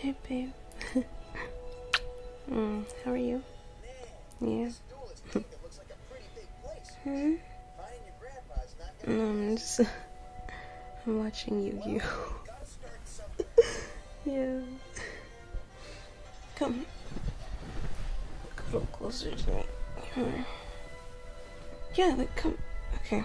Hey, babe. mm, how are you? Yeah. hmm? hmm I'm just. I'm watching Yu Yu. yeah. Come. a little closer to me. Yeah, like, come. Okay.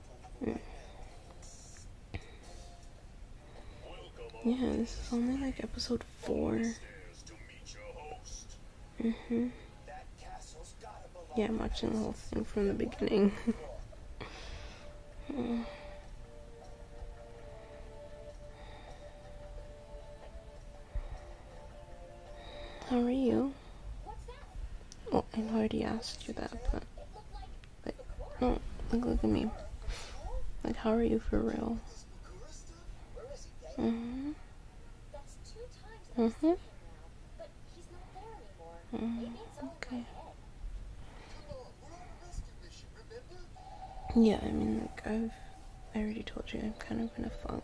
Yeah, this is only like episode four. Mm-hmm. Yeah, I'm watching the whole thing from the beginning. Mm. How are you? Oh, I already asked you that, but like, oh, look, at me. Like, how are you for real? Mhm. Mhm. Mm, okay. Yeah, I mean, like, I've I already told you I'm kind of in a funk.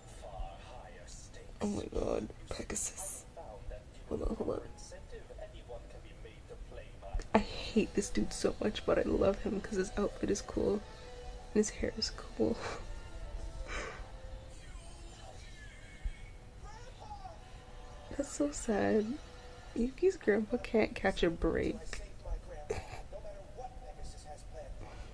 Oh my god, Pegasus. I hate this dude so much, but I love him because his outfit is cool and his hair is cool. That's so sad. Yuki's grandpa can't catch a break.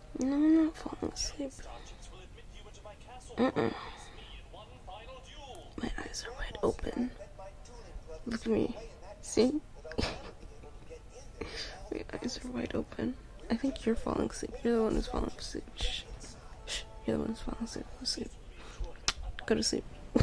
No, I'm not falling asleep. Uh mm My eyes are wide open. Look at me. See? my eyes are wide open. I think you're falling asleep. You're the one who's falling asleep. You're the one who's falling asleep. Go to sleep.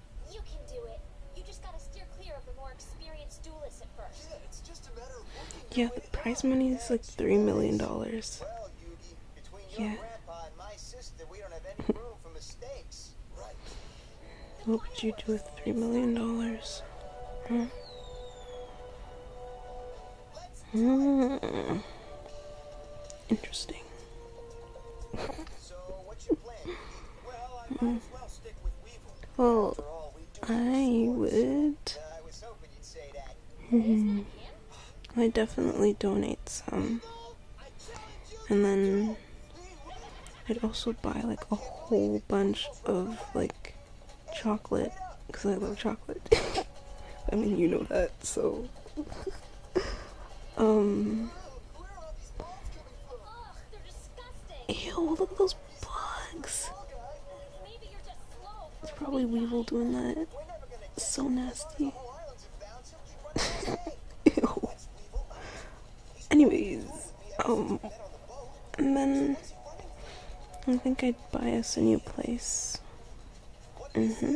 You can do it. You just gotta steer clear of the more experienced duelists at first. Yeah, the prize money is like three million dollars. yeah. What would you do with three million dollars? Interesting. Well, I would. Hmm, I definitely donate some. And then I'd also buy like a whole bunch of like chocolate because I love chocolate. I mean, you know that, so. um. Ew, look at those bugs. It's probably Weevil doing that. so nasty. Ew. Anyways, um, and then I think I'd buy us a new place. hmm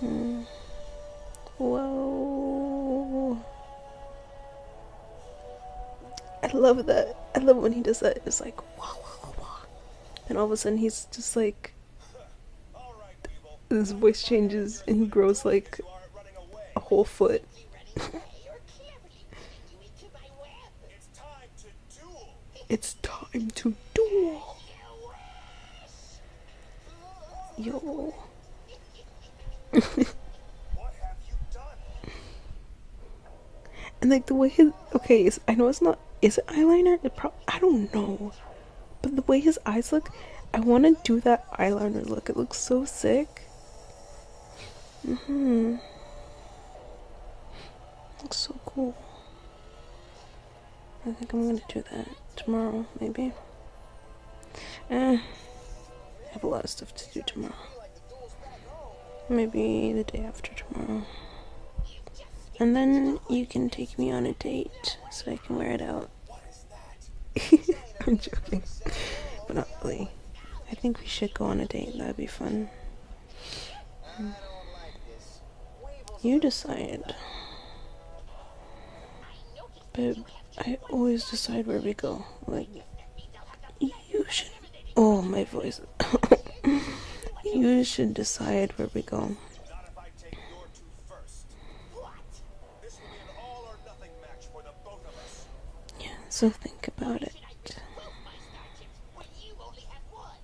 Hmm. Whoa. I love that. I love when he does that. It's like, wah, wah, wah, And all of a sudden he's just like. His voice changes and he grows like a whole foot. It's time to duel. Yo. What have you done? and like the way his okay, is, I know it's not is it eyeliner? It probably. I don't know, but the way his eyes look, I want to do that eyeliner look. It looks so sick. Mhm. Looks so cool. I think I'm gonna do that tomorrow, maybe. Eh, I have a lot of stuff to do tomorrow. Maybe the day after tomorrow. And then you can take me on a date so I can wear it out. I'm joking. But not really. I think we should go on a date, that'd be fun. Hmm. You decide. but I always decide where we go. Like, you should. Oh, my voice. you should decide where we go. Yeah, so think about it.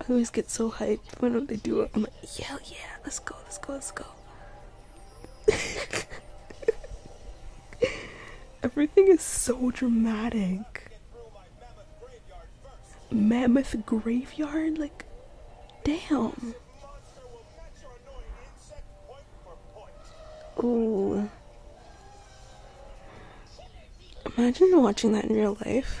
I always get so hyped when they do it. I'm like, yeah, yeah, let's go, let's go, let's go. Everything is so dramatic. Mammoth graveyard? Like, damn. Ooh. Imagine watching that in real life.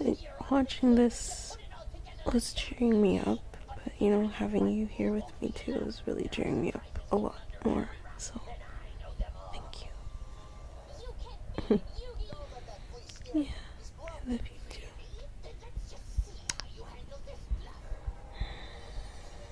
Like, watching this was cheering me up, but you know, having you here with me too is really cheering me up a lot more. So, thank you. yeah, I love you too.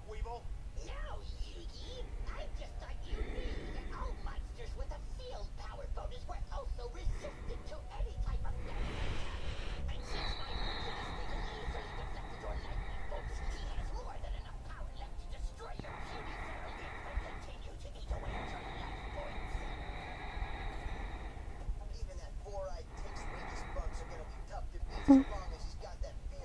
trick, Weevil? No, Yugi. I just thought you knew that all monsters with a field power bonus were also resistant to any type of damage attack. And my Mercury's bigger easily deflected your lightning bolts, he has more than enough power left to destroy your puny family and continue to eat away at your life points. Even that four-eyed tick's to be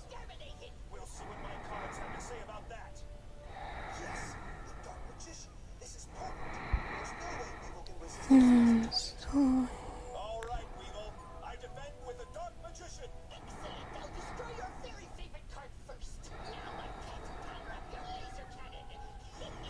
We'll see what my colleagues have to say about that. Yes, the Dark Magician. This is perfect. There's no way Weevil can resist hmm, this. All right, with the Dark Magician. Excellent. i destroy your very favorite card first. Now I can power up your laser cannon. Attack!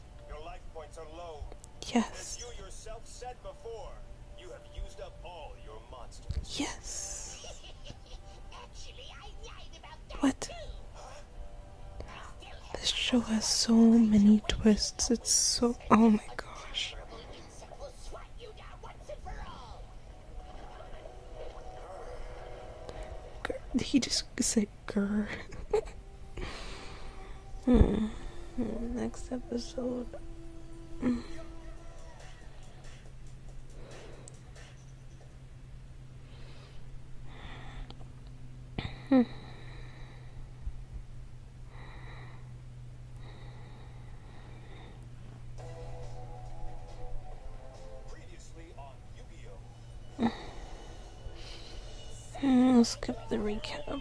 Yes. As you yourself said before, you have used up all your monsters. Yes. what? This show has so many twists. It's so. Oh my gosh. He just said grr. Hmm. Next episode. Hmm. Hmm. skip the recap.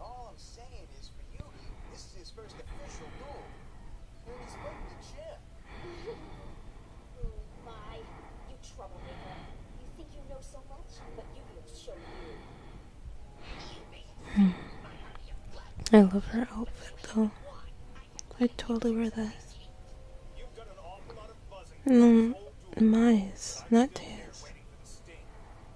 All I'm saying is for you, this is his first official duel. And he's breaking the gym. Ooh, my. You troublemaker. You think you know so much, but you will show you. I love her outfit though. I totally wear that. No, mine's, not his.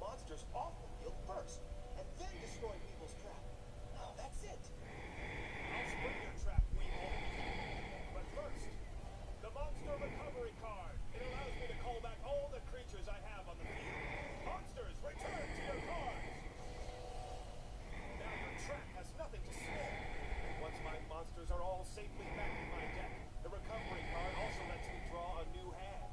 monsters off the field first, and then destroy people's trap. Now that's it. I'll spring your trap, Weevil. But first, the monster recovery card. It allows me to call back all the creatures I have on the field. Monsters, return to your cards! Now your trap has nothing to spare. Once my monsters are all safely back in my deck, the recovery card also lets me draw a new hand.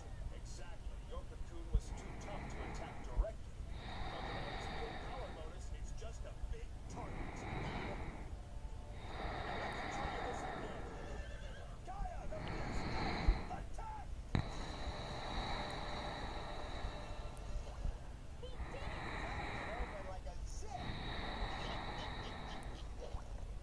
Exactly. Your cocoon was too tough to attack directly. Your power bonus is just a big target. And Attack! He did it! That was over like a zip!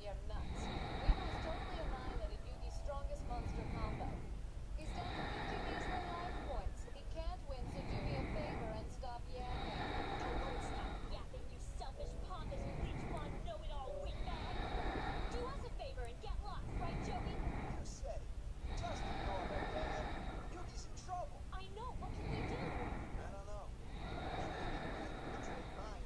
You're nuts. We know Weaver's totally aligned that it knew the strongest monster combo. He's down to 50 measly life points. He can't win, so do me a favor and stop yapping. I not stop yapping, you selfish, pompous, leech-wand, know-it-all windbag. Do us a favor and get lost, right, Joey? You said it. Trust me, Norman, man. Yugi's in trouble. I know. What can we do? I don't know. Maybe we can make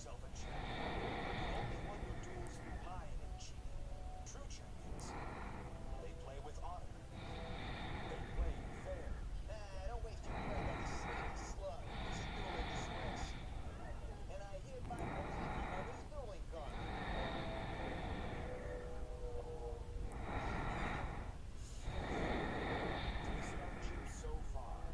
yourself a champion. The only one who duels lying and cheating. True champions. They play with honor. They play fair. Nah, don't waste your breath on this sneaky slug. He's a dueling disgrace. And I hereby relieve you of his dueling garment. This about you so far.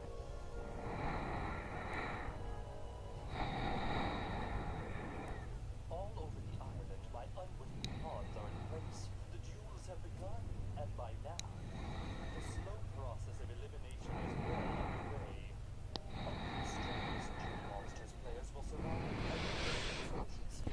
All over the island, my unwitting pawns are in place. The duels have begun, and by now, the slow process of elimination is well underway. Only the strongest two monsters players will survive. And the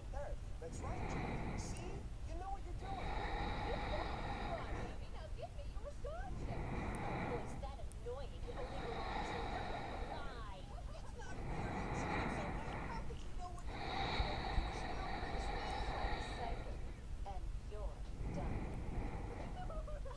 it there. That's right, Julie. See? You know what you're doing. Get back here, I mean. Now give me your astonishing. Oh, is that annoying? It only belongs to her. Why? It's not fair. It's not so bad. How could you know what you're doing? You're still pretty smart. And you're done. Look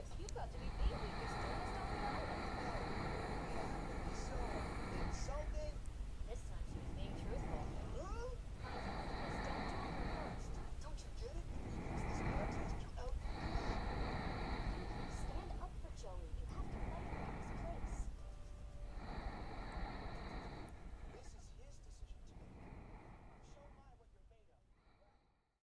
Chips, you've got to be thinking you're still just on the island. So insulting. This time she was being truthful. Huh? Don't you get it? You use this contest, you out. Stand up for Joey. You have to let him in his place. This is his decision to make. Show my what you're made of.